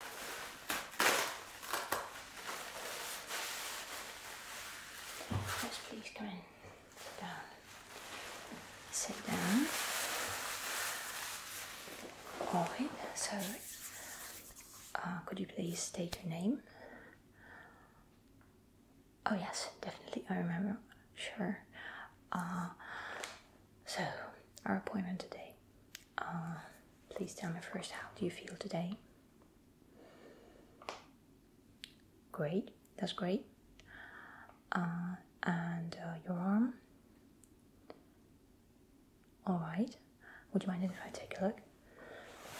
Yes, please come in. Down. Sit down. Alright, so uh, could you please state your name? Oh, yes, definitely. I remember. Sure. Uh, so, our appointment today uh, please tell me first, how do you feel today? Great, that's great. Uh, and uh, your arm? Alright. Would you mind if I take a look?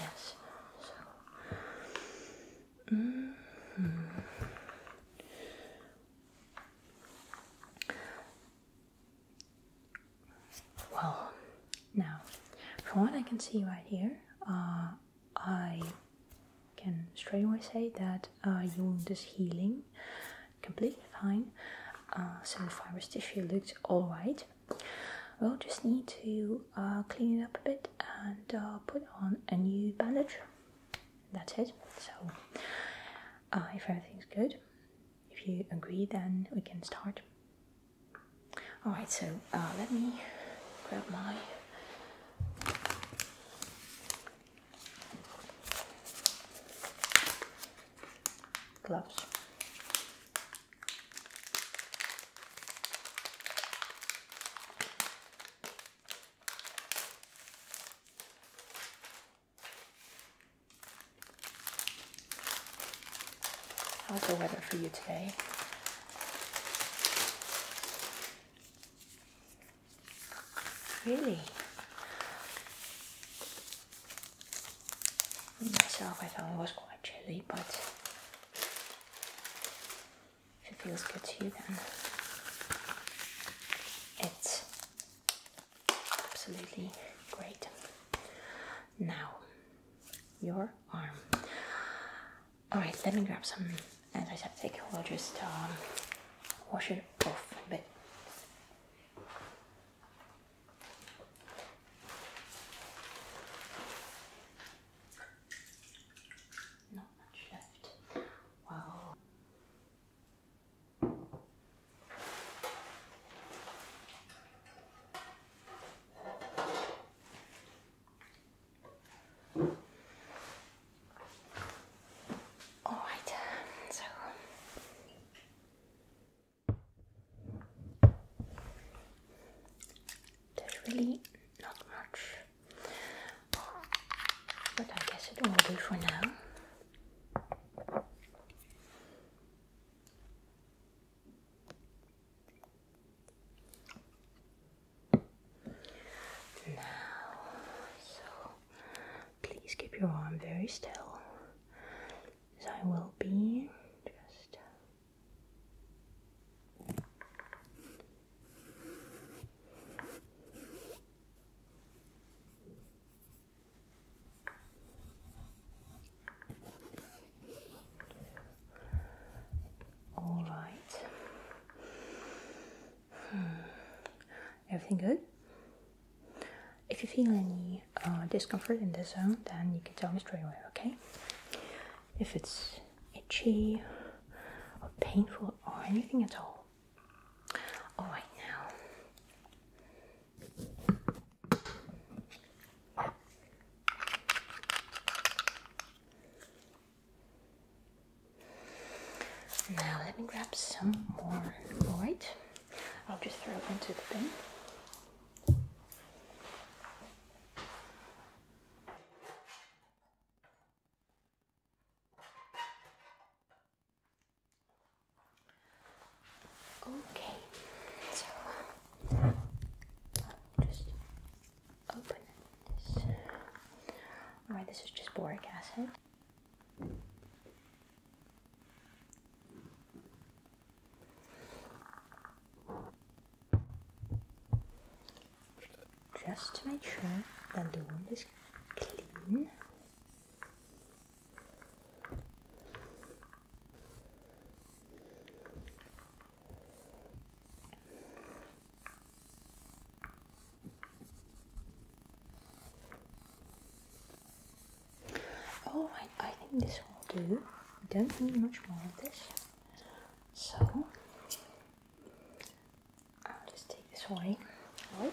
Yes. Mm-hmm. Well, now, from what I can see right here, uh, I can straight say that uh, you're wound is healing completely fine. Uh, so the fibrous tissue looks alright. We'll just need to clean it up a bit and put on a new bandage. That's it. So, if everything's good, if you agree, then we can start. Alright, so uh, let me grab my gloves. How's the weather for you today? Really? Myself, I thought it was quite chilly, but if it feels good to you, then it's Absolutely great. Now, your arm. Alright, let me grab some antiseptic. We'll just um, wash it off a bit. Not much left. Well, Alright, so there's really not much, but I guess it will do for now. Now, so please keep your arm very still, as I will be just. All right. Hmm. Everything good? If you feel any uh, discomfort in this zone, then you can tell me straight away, okay? If it's itchy or painful or anything at all, all right now. Now let me grab some more. All right, I'll just throw it into the bin. Okay, so uh, just open this. Alright, this is just boric acid. Just to make sure that the room is clean. All oh, right, I think this will do. I don't need much more of this. So I'll just take this away. Right.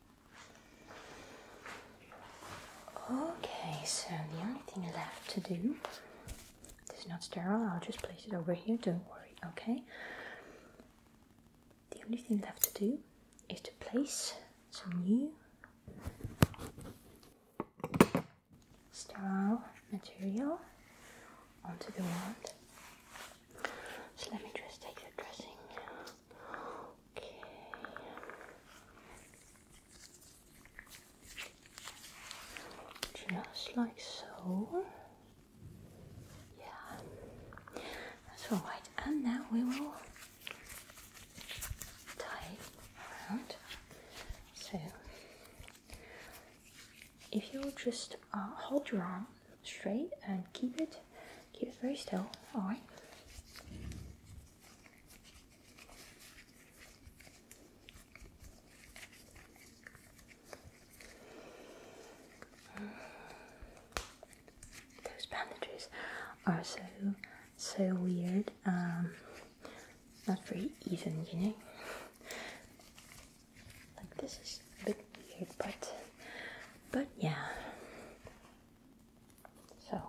Okay, so the only thing left to do, this is not sterile, I'll just place it over here, don't worry, okay? The only thing left to do is to place some new sterile material onto the wand. So let me just take the dressing Okay. Just like so. Yeah. That's all right. And now we will tie So if you just uh, hold your arm straight and keep it Keep it very still. All right. Those bandages are so so weird. Um, not very even, you know. Like this is a bit weird, but but yeah. So.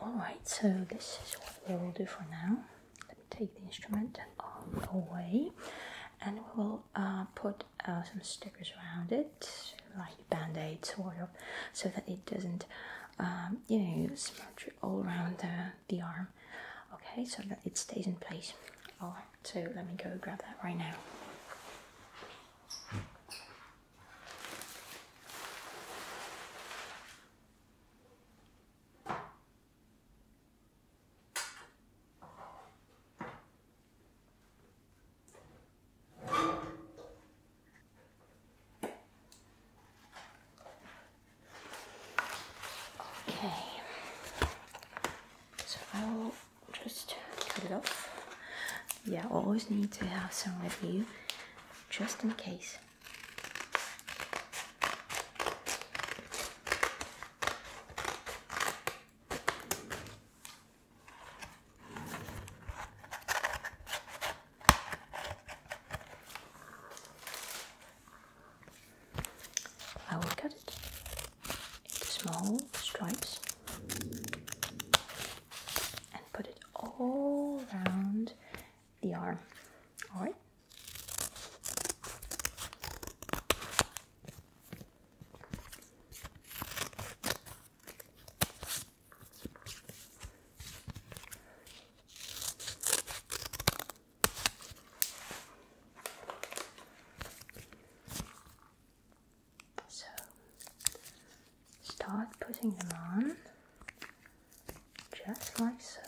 Alright, so this is what we will do for now. Let me take the instrument away and we will uh, put uh, some stickers around it, like band-aids sort of, so that it doesn't, um, you know, smudge all around the, the arm. Okay, so that it stays in place. All right, so let me go grab that right now. Okay, so I will just cut it off. Yeah, I always need to have some with you, just in case. I will cut it into small stripes and put it all around the arm. Alright? So start putting them on just like so.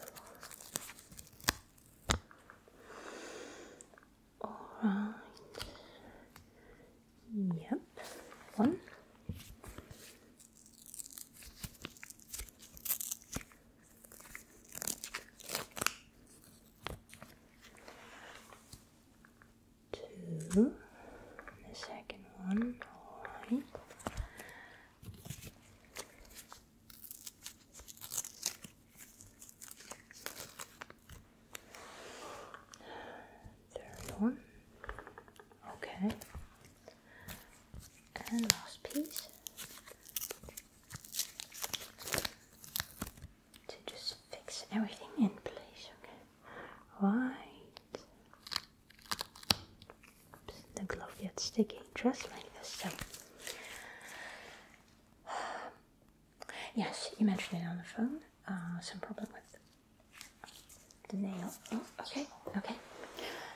All right. Yep. One. Two. The second one. All right. Third one. Okay. And last piece. To just fix everything in place, okay? Right. the glove gets sticky just like this. So Yes, you mentioned it on the phone. Uh, some problem with the nail. Oh, okay, okay.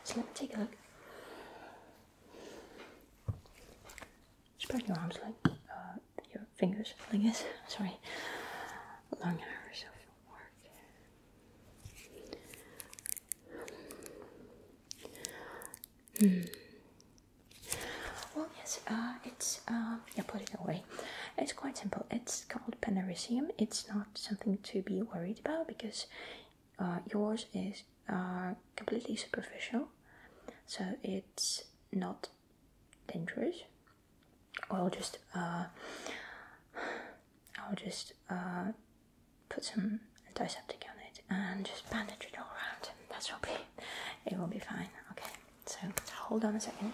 So let me take a look. Spread your arms like uh, your fingers like this. Sorry, well, yes, uh, it's, um, yeah, put it away. It's quite simple. It's called panorrhisium. It's not something to be worried about because uh, yours is uh, completely superficial, so it's not dangerous. I'll just, I'll just put some antiseptic on it and just bandage it all around. That's okay. It will be fine. Okay. So hold on a second.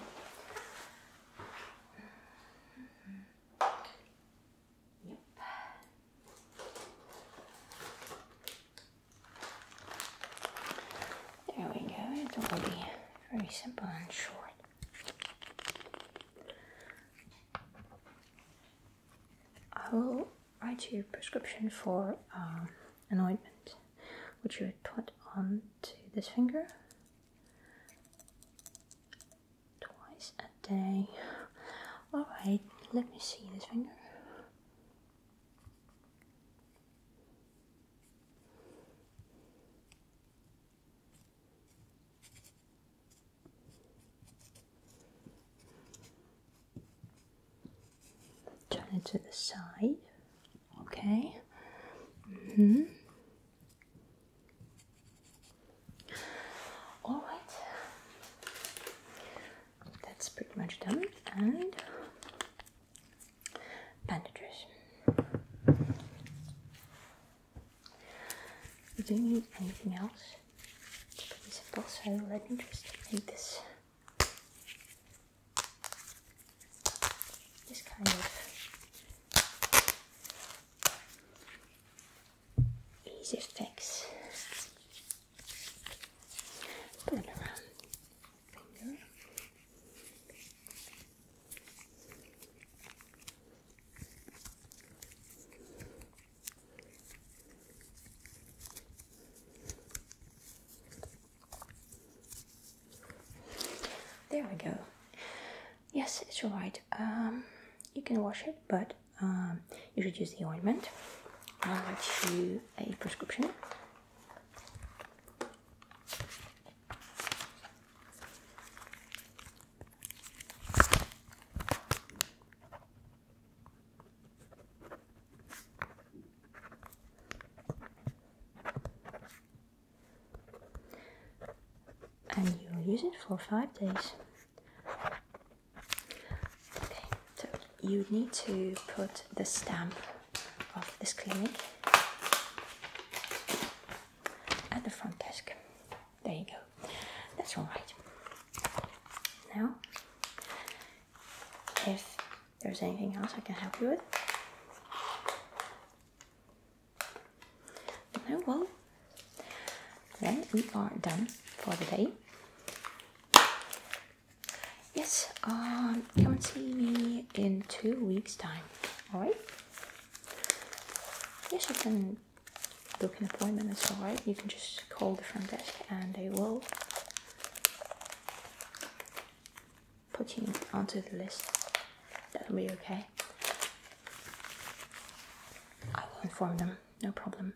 There we go. It will be very simple and short. I write your prescription for uh, an ointment which you would put onto this finger twice a day. Alright, let me see this finger turn it to the side. Okay. Mm-hmm. All right. That's pretty much done. And bandages. don't need anything else. It's pretty simple. So let me just make this. This kind of easy fix. Put around finger. There we go. Yes, it's alright. Um, you can wash it, but um, you should use the ointment. I'll write you a prescription and you use it for five days. Okay, so you need to put the stamp of this clinic at the front desk. There you go. That's all right. Now if there's anything else I can help you with. No, well, then we are done for the day. Yes, um, come see me in two weeks' time, alright? Yes, you can book an appointment as well, You can just call the front desk and they will putting onto the list. That'll be okay. I will inform them, no problem.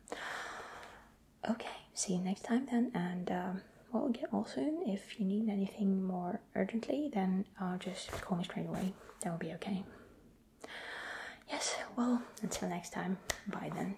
Okay, see you next time then, and um, we'll get all soon. If you need anything more urgently, then uh, just call me straight away. That will be okay. Yes, well, until next time, bye then.